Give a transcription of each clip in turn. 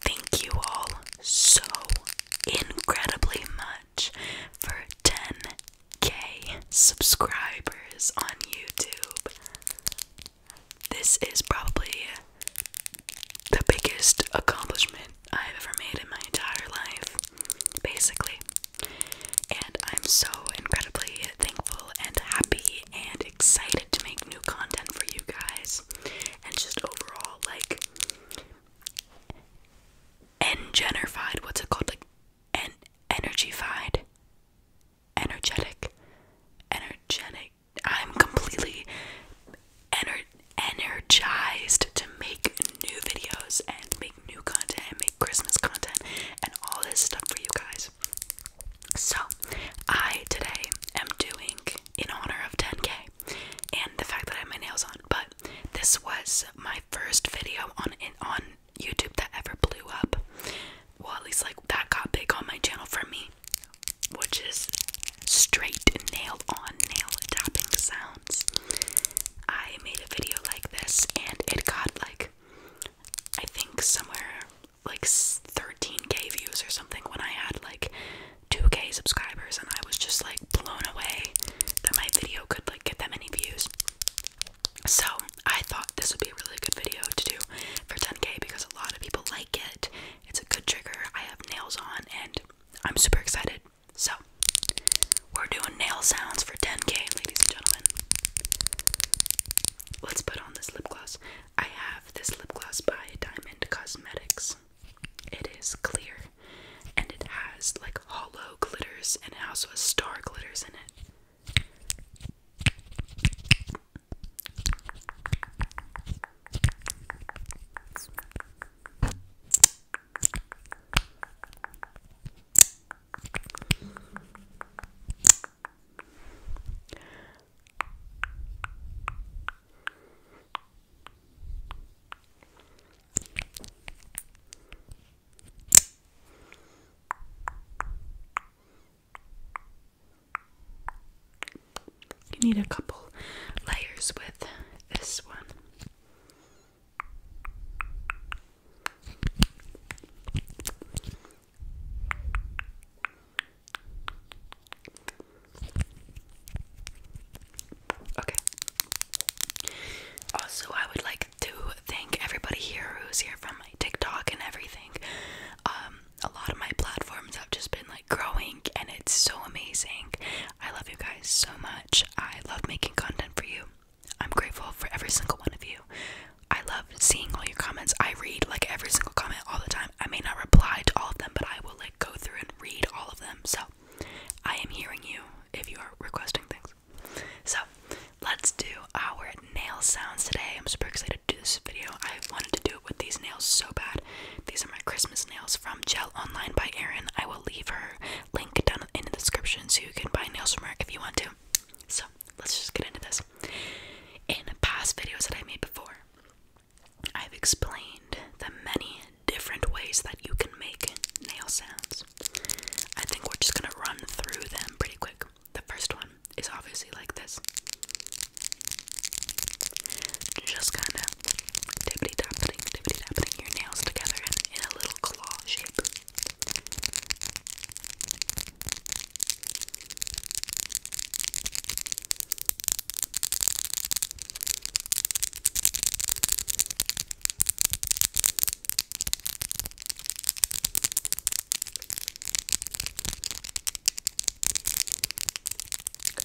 Thank you all so incredibly much for 10k subscribers on YouTube. This is probably the biggest accomplishment I've ever made in my entire life, basically. And I'm so incredibly thankful and happy and excited to make new content for you guys and just overall, like, engenified. What's it called? Like en energified, energetic, energetic. I'm completely ener energized to make new videos and make new content and make Christmas content and all this stuff for you guys. So I today am doing in honor of 10k and the fact that I had my nails on. But this was my first video on on YouTube that ever blew up. Well, at least like that got big on my channel for me, which is straight nail on nail tapping sounds. I made a video like this and it got like I think somewhere like 13k views or something when I had like 2k subscribers and I was just like blown away that my video could like get that many views. So I thought this would be a really good video to do for 10k because a lot of people like it. It's a good trigger. I have nails on and I'm super excited. So we're doing nail sounds for 10k, ladies and gentlemen. Let's put on this lip gloss. I have this lip gloss by Diamond Cosmetics. It is clear and it has like hollow glitters and it also has star glitters in it. You need a couple layers with this one. Okay. Also, I would like to thank everybody here who's here from my TikTok and everything. Um, a lot of my platforms have just been like growing, and it's so amazing. I love you guys so much. I love making content for you. I'm grateful for every single one of you. I love seeing all your comments. I read like every single comment all the time. I may not reply to all of them, but I will like go through read all of them. So I am hearing you if you are requesting things. So let's do our nail sounds today. I'm super excited to do this video. I wanted to do it with these nails so bad. These are my Christmas nails from Gel Online by Erin. I will leave her link down in the description so you can buy nails from her if you want to. So let's just get into this. In past videos that I made before, I've explained the many different ways that you can make nail sounds. I think we're just gonna run through them pretty quick. The first one is obviously like this. Just kinda tippity tapping, tapping your nails together in a little claw shape.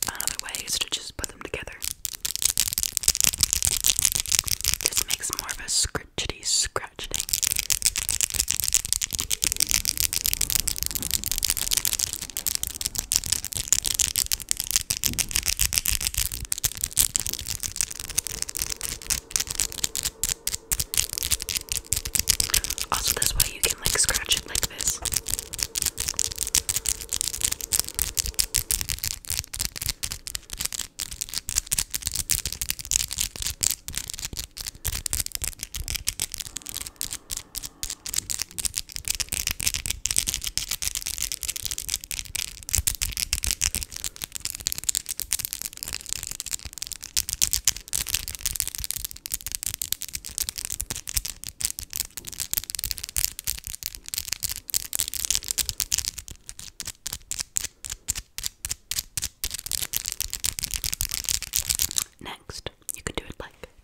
Another way is to just put them together. This makes more of a scritchety scratchety. Also, this way you can like scratch it like this. Next, you can do it like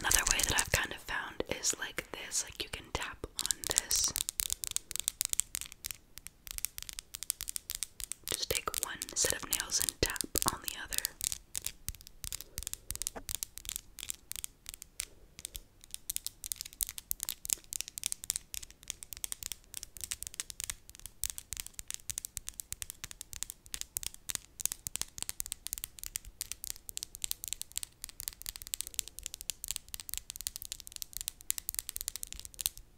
Another way that I've kind of found is like this, like you can tap on this. Just take one set of nails and tap on the other. Okay,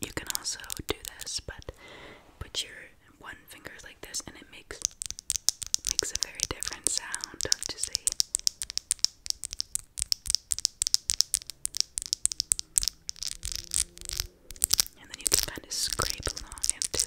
You can also do this, but put your one finger like this, and it makes makes a very different sound, don't you see? And then you can kind of scrape along into.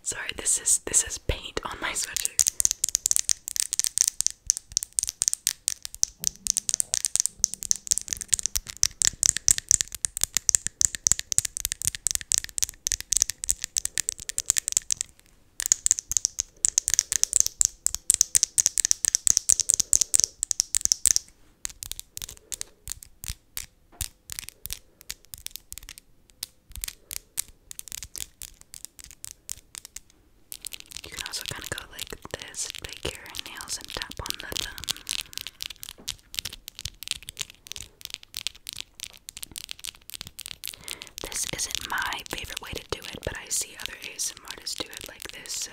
Sorry, this is this is paint on my sweatshirt. You can also kind of go like this, take your nails and tap on the thumb. This isn't my favorite way to do it, but I see other ASM do it like this, so.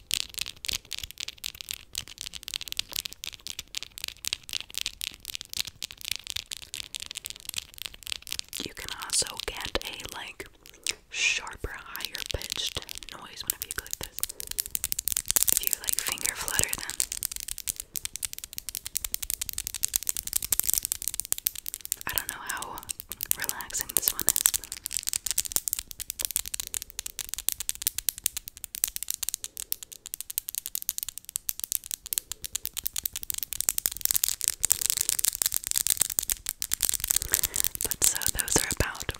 You can also get a like sharper, higher pitched noise whenever you click this. If you like finger flutter Then I don't know how relaxing this one is. But so those are about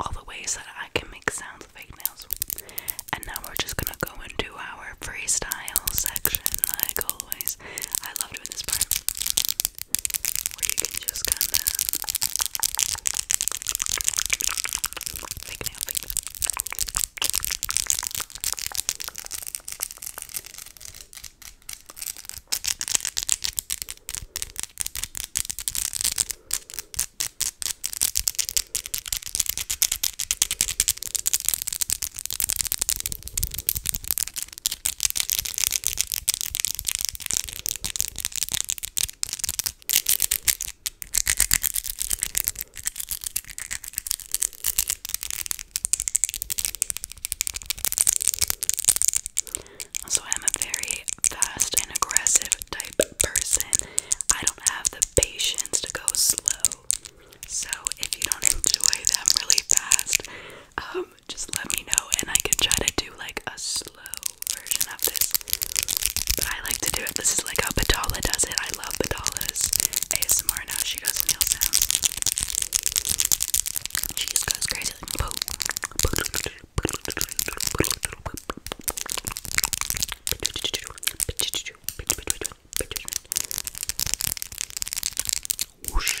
all the ways that I can make sounds with fake nails. And now we're just gonna go into our freestyle section, like always. I love doing this part where you just kind of Fake nail, fake nail. Also, I'm a very fast and aggressive type person. I don't have the patience to go slow. So, if you don't enjoy them really fast, um, just let me know and I can try to do like a slow slow version of this. But I like to do it. This is like how Batala does it. I love Batala's ASMR and how she does meal sounds. She just goes crazy like poo. Whoosh.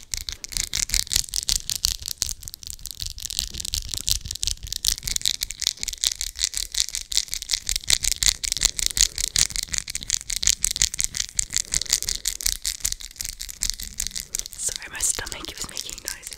Sorry, my stomach is making noises.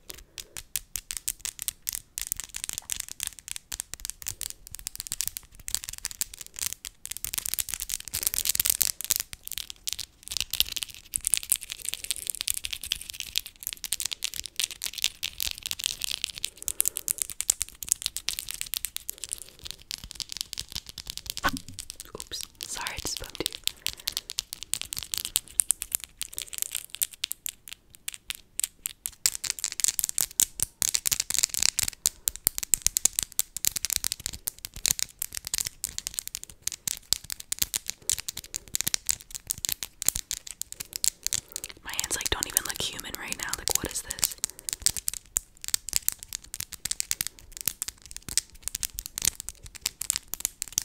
Oops, sorry I just bumped you. My hands like don't even look human right now. Like what is this?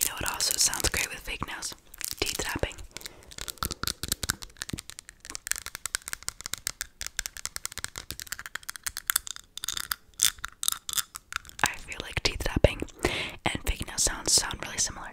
You know what also sounds great with fake nails? Tea tapping. I feel like teeth tapping and fake nail sounds sound really similar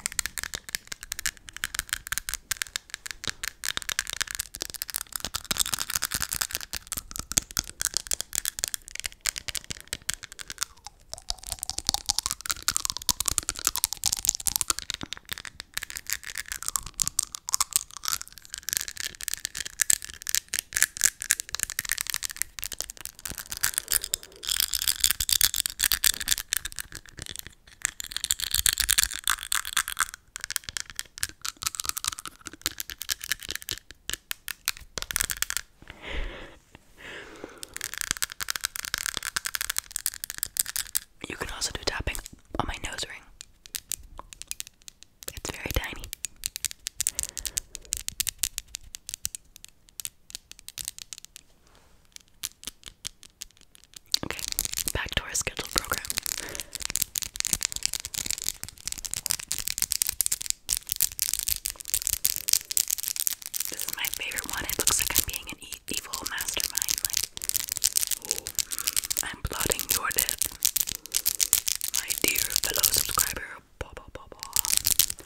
you can also do tapping on my nose ring. It's very tiny. Okay, back to our scheduled program. This is my favorite one. It looks like I'm being an evil mastermind. Like, I'm plotting your death, my dear fellow subscriber. Bah, bah, bah, bah.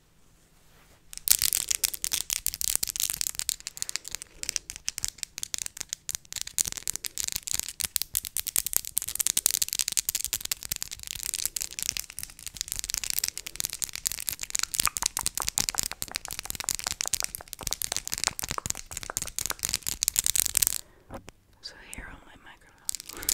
So here on my microphone.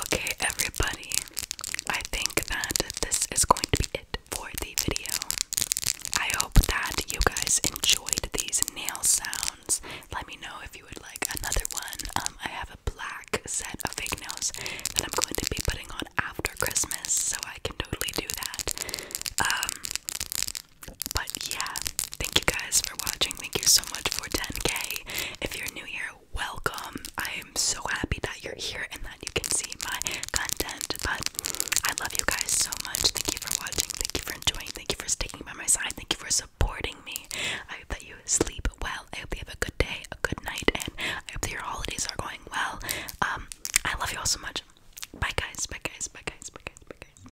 Okay, everybody, I think that this is going to be it for the video. I hope that you guys enjoyed these nail sounds. Let me know if you would like another one. Um, I have a black set of fake nails that I'm going to be putting on after Christmas, so I can totally do that. Um, but yeah, thank you guys for watching. Thank you so much for 10k. If you're new here, welcome. I am so happy that you're here and that you can see my content. But I love you guys so much. Thank you for watching. Thank you for enjoying. Thank you for sticking by my side. Thank you for supporting me. I hope that you sleep well. I hope you have a good day, a good night, and I hope that your holidays are going well. Um, I love you all so much. Bye guys, bye guys, bye guys, bye guys, bye guys.